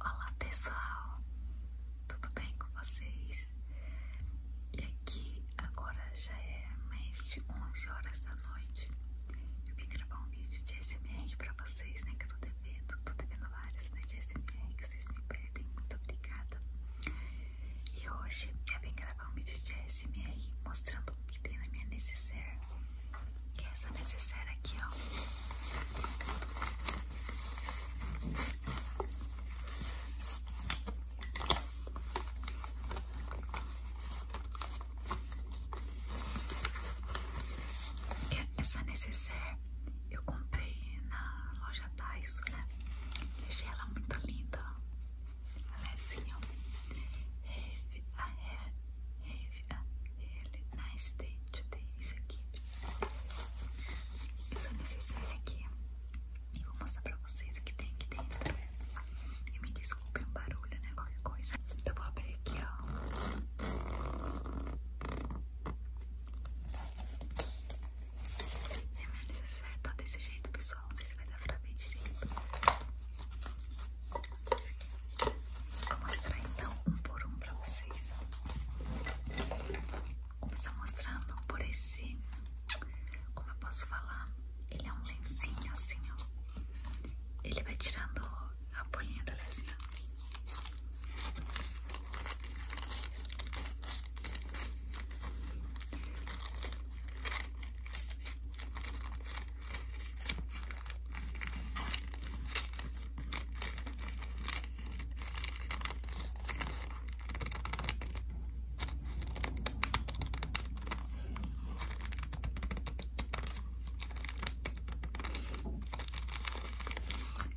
Olá pessoal, tudo bem com vocês? E aqui agora já é mais de 11 horas da noite. Eu vim gravar um vídeo de SMR para vocês, né? Que eu tô devendo, tô devendo vários né, de SMR que vocês me pedem. Muito obrigada. E hoje eu vim gravar um vídeo de SMR mostrando o que tem na minha necessaire que é essa necessaire aqui, ó. É essa necessaire eu comprei na loja Daiso, né? achei ela muito linda. é assim, ó. a, have a really nice day. Deixa eu ter isso aqui. Essa necessária aqui. E vou mostrar pra vocês o que tem aqui dentro. Né? E me desculpe é um barulho, né? Qualquer coisa. Então vou abrir aqui, ó. É minha necessaire tá desse jeito, pessoal. Não sei se vai dar pra ver direito. Vou mostrar então um por um pra vocês. Começar mostrando por esse. Como eu posso falar? Ele é um lencinho assim, ó. Ele vai tirando a bolinha da lesina.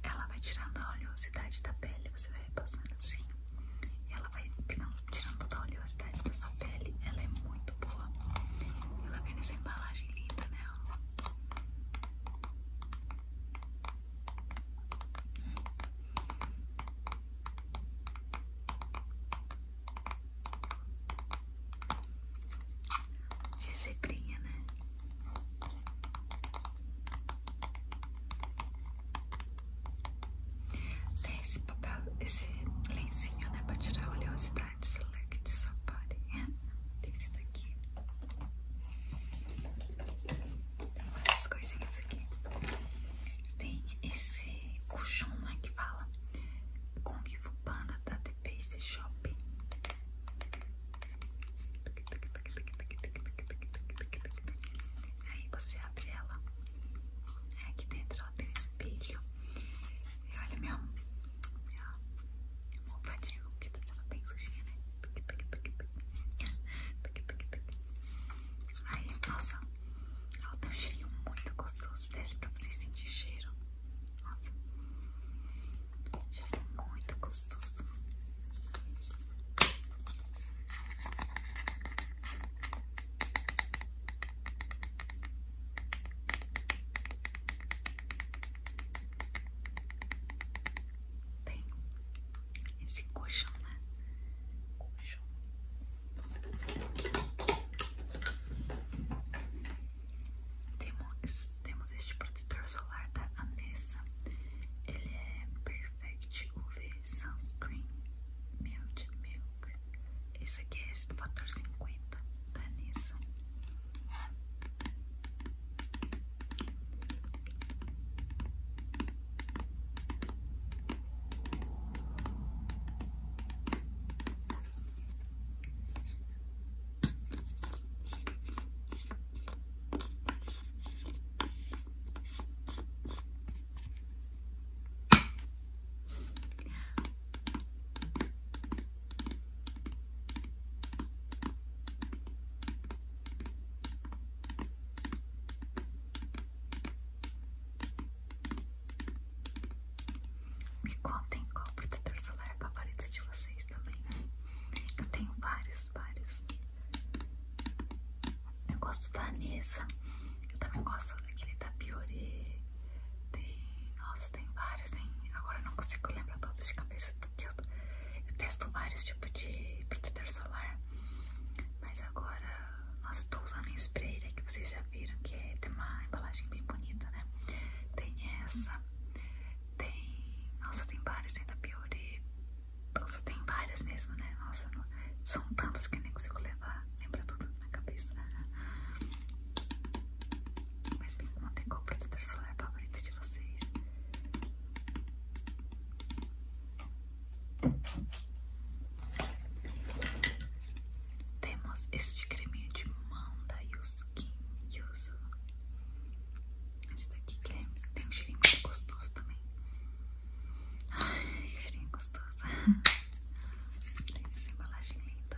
Ela vai tirando a oleosidade da pele, você vai repassando assim. ela vai tirando toda a oleosidade da sua pele. Ela é muito boa. Ela vem nessa embalagem linda, né? De zebrinha, né? Tem esse papel, esse lencinho, né? para tirar a oleosidade start select somebody. Né? esse daqui. Essas coisinhas aqui. Tem esse colchão lá né, que fala Kung Fu Panda da TP Pace Shopping. Aí você abre ela. Aqui dentro ela tem espelho. E olha, meu, vontade de que ela bem sujinha, né? Ai, é nossa, ela tem tá um cheirinho muito gostoso. Desce pra vocês sentir cheiro. Nossa, cheiro muito gostoso. Tem esse colchão, né? Colchão. Temos, temos este protetor solar da Anessa. Ele é Perfect UV Sunscreen Mild Milk. Esse aqui é esse fator 50. Danisa. Tá me contem qual protetor solar é favorito de vocês também. Eu tenho vários, vários. Eu gosto da Anessa. Eu também gosto daquele da Biore. Tem. Nossa tem várias, hein? Agora eu não consigo lembrar todas de cabeça que eu, testo vários tipos de protetor solar. Mas agora, nossa, tô usando um spray, né, que vocês já viram que é, tem uma embalagem bem bonita, né? Tem essa, tem... Nossa, tem várias, tem da Biore. Nossa, tem várias mesmo, né? Nossa, são tantas que eu nem consigo levar, lembra tudo na cabeça. Mas perguntem qual protetor solar favorito de vocês. Temos este creminho de mão da Yuskin Yuzu. Esse daqui creme é, tem um cheirinho muito gostoso também. Ai, cheirinho gostoso. tem essa embalagem linda.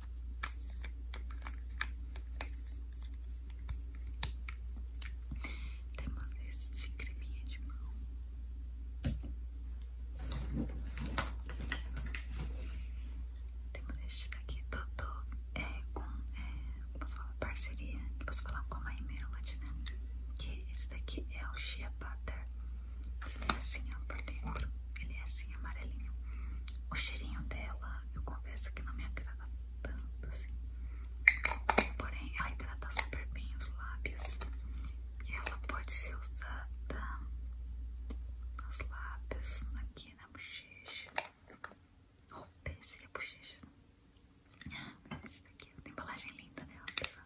Temos este creminho de mão. Temos este daqui todo é, com é, posso falar, parceria. Posso falar com a My Melody, né? Que esse daqui é o Shea Butter. Ele tem assim, ó, por dentro. Ele é assim, amarelinho. O cheirinho dela, eu confesso que não me agrada tanto assim. Porém, ela hidrata super bem os lábios. E ela pode ser usada nos lábios, aqui na bochecha. o oh, seria é bochecha. Ah, Essa daqui tem embalagem linda dela, pessoal.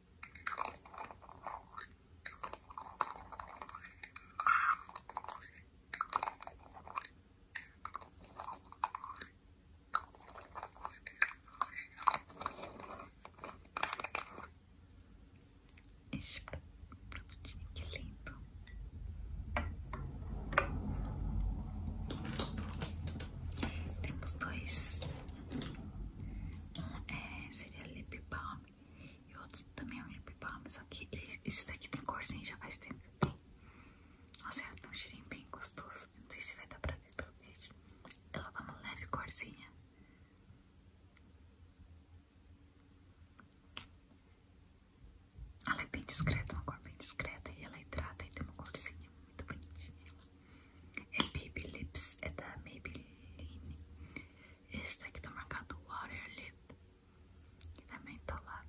Que é lindo. Temos dois é, seria lip balm e outro também é um lip balm, só que esse daqui tem corzinho já faz tempo que tem. Nossa, ela tem um cheirinho bem gostoso, não sei se vai dar pra ver pelo vídeo. Ela dá uma leve corzinha. Ela é bem discreta, uma cor bem discreta e ela é hidrata e tem uma corzinha muito bonitinha. É Baby Lips, é da Maybelline. Esse daqui tá marcado Water Lip, e também tá lá.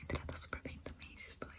E trata super bem também esses dois.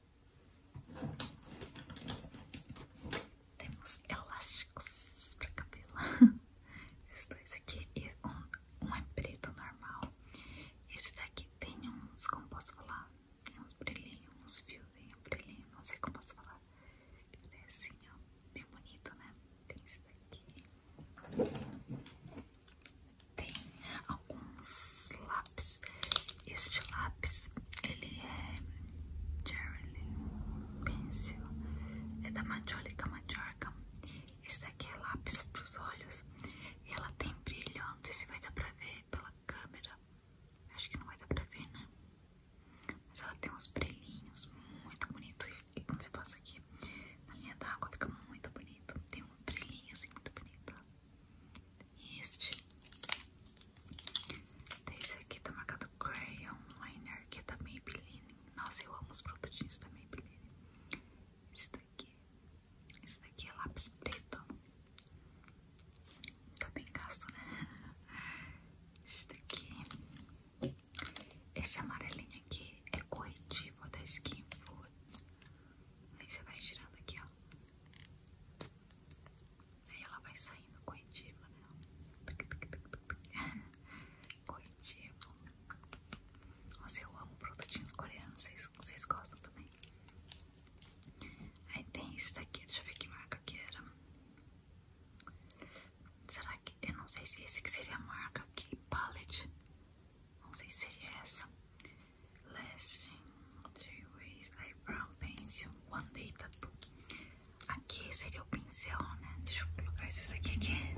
Temos elásticos para cabelo. Esses dois aqui um, um é preto normal. Esse daqui tem uns, como posso falar? Tem uns brilhinhos, uns fiozinhos, brilhinho, não sei como posso falar. Ele é assim, ó, bem bonito, né? Tem esse daqui. Tem alguns lápis este lápis, ele é Jerry Pencil, é da Majolica Majorca. Esse daqui é lápis para os olhos e ela tem brilho, não sei se vai dar para ver pela câmera, acho que não vai dar para ver, né? Mas ela tem uns brilhinhos muito bonitos e quando você passa aqui na linha d'água fica muito bonito, tem um brilhinho assim muito bonito este. Esse aqui tá marcado Crayon Liner, que é da Maybelline. Nossa, eu amo os produtinhos da Maybelline. Esse daqui. Esse daqui é lápis preto. Tá bem gasto, né? Esse daqui. Esse amarelinho aqui é corretivo da Skin Food. Aí você vai girando aqui, ó. Aí ela vai saindo coitiva, né? coitivo. Nossa, eu amo produtinhos coreanos. Vocês, vocês gostam também? Aí tem esse daqui, deixa eu ver que marca que era. Será que. Eu não sei se esse que seria a marca aqui. Palette. Não sei se seria essa. Lasting. Three ways eyebrow pencil. One day tattoo. Aqui seria o pincel, né? Deixa eu colocar esses aqui. aqui.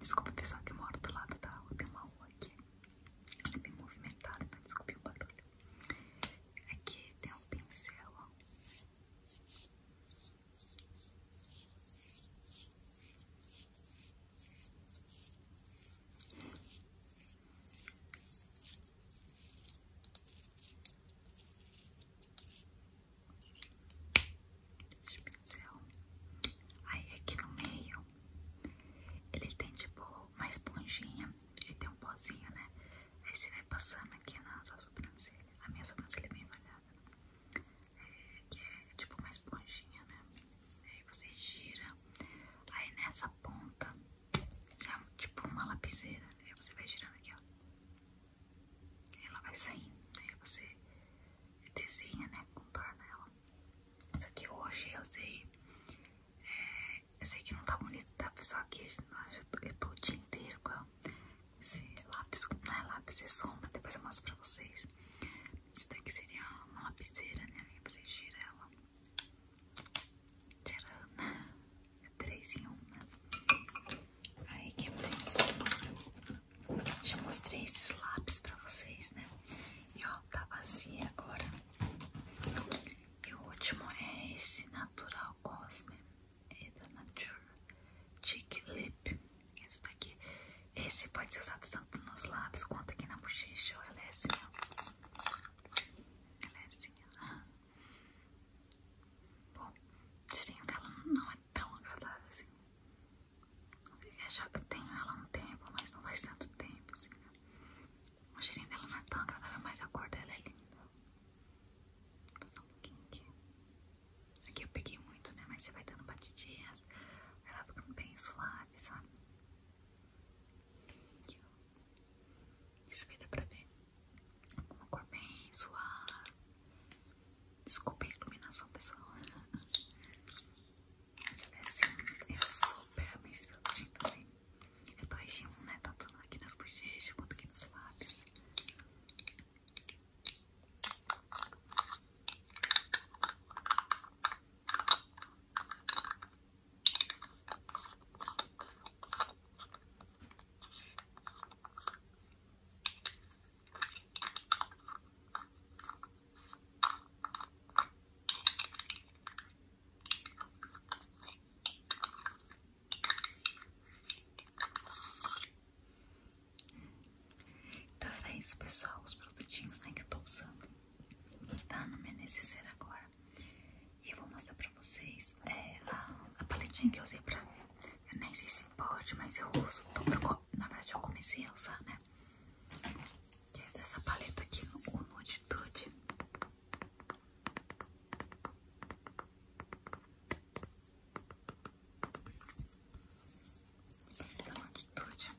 Desculpa, pessoal, que eu do lado da rua. Tem uma rua aqui. Ela é bem movimentada, então tá? desculpe o barulho. Aqui tem um pincel, ó. Esse pincel. Aí aqui no meio, ele tem tipo uma esponjinha. Ele tem um pozinho, né? Aí você vai passando aqui na sua sobrancelha. A minha sobrancelha é bem malhada É, que é tipo uma esponjinha, né? Aí você gira. Aí nessa ponta já tipo uma lapiseira, né? Você vai girando aqui, ó. Ela vai saindo, né? Você desenha, né? Contorna ela. Isso aqui hoje eu sei. É, eu sei que não tá bonito, tá? Só que eu tô, eu o dia inteiro com esse lápis, não é lápis, é sombra. Depois eu mostro pra vocês. Isso daqui seria uma lapiseira, né? Aí você gira ela. Tcharam! É três em uma. Aí, que mais? Já mostrei esses lápis pra vocês, né? E ó, tá vazia agora. E o último é esse Natural Cosme. É da Nature Cheek Lip. Esse daqui. Esse pode ser usado tanto nos lábios quanto aqui na bochecha. Olha esse, é assim, meu. Ela é assim, ela... Bom, o cheirinho dela não é tão agradável assim. Eu tenho ela há um tempo, mas não faz tanto tempo assim. O cheirinho dela não é tão agradável, mas a cor dela é linda. Vou passar um pouquinho aqui. Aqui eu peguei muito, né? Mas você vai dando batidinhas. Ela fica bem suave, sabe? Isso vai dar pra ver. Uma cor bem suave. Desculpa a iluminação, pessoal. Essa é assim, é super amizível também. É dois em um, né? Tanto tá aqui nas bochechas quanto aqui nos lábios. Então era isso pessoal, os produtinhos né, que eu estou usando Tá no meu agora e eu vou mostrar pra vocês é, a, paletinha que eu usei pra. Eu nem sei se pode, mas eu uso. Então, eu, na verdade, eu comecei a usar, né? Que é dessa paleta aqui, o Nuditude. Da então, Nuditude.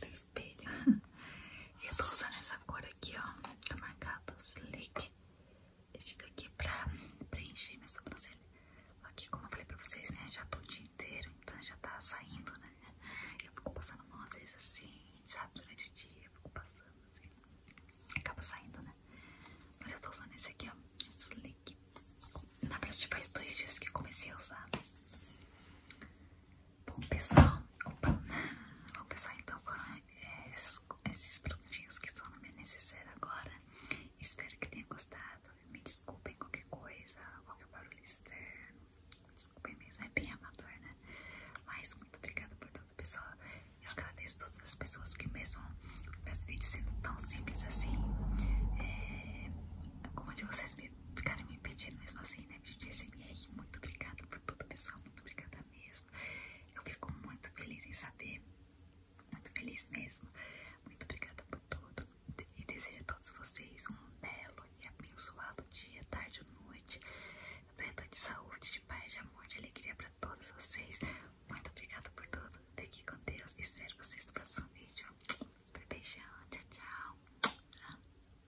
Da espelho. eu tô usando essa cor aqui, ó. Tá marcado slick. Esse daqui é pra preencher minha sobrancelha. Aqui, como eu falei pra vocês, né? Já tô o dia inteiro, então já tá saindo, né? Eu fico passando mão às vezes assim, sabe? Durante o dia, eu fico passando assim. Acaba saindo, né? Mas eu tô usando esse aqui, ó. Slick. Na verdade, faz dois dias que comecei a usar. Bom pessoal, opa, bom pessoal, então foram é, esses, esses produtinhos que estão na minha necessaire agora. Espero que tenham gostado. Me desculpem qualquer coisa, qualquer barulho externo. Desculpem mesmo, é bem amador, né? Mas muito obrigada por tudo, pessoal. Eu agradeço todas as pessoas que mesmo meus vídeos sendo tão simples assim, é, como de vocês me ficaram me pedindo mesmo assim, né? De DSMR, muito obrigada por tudo, pessoal. Muito obrigada mesmo. Eu fico muito feliz em saber. Muito feliz mesmo. Muito obrigada por tudo. E desejo a todos vocês um belo e abençoado dia, tarde ou noite. Preto de saúde, de paz, de amor, de alegria para todos vocês. Muito obrigada por tudo. Fiquem com Deus. Espero vocês no próximo vídeo. Beijão. Tchau, tchau.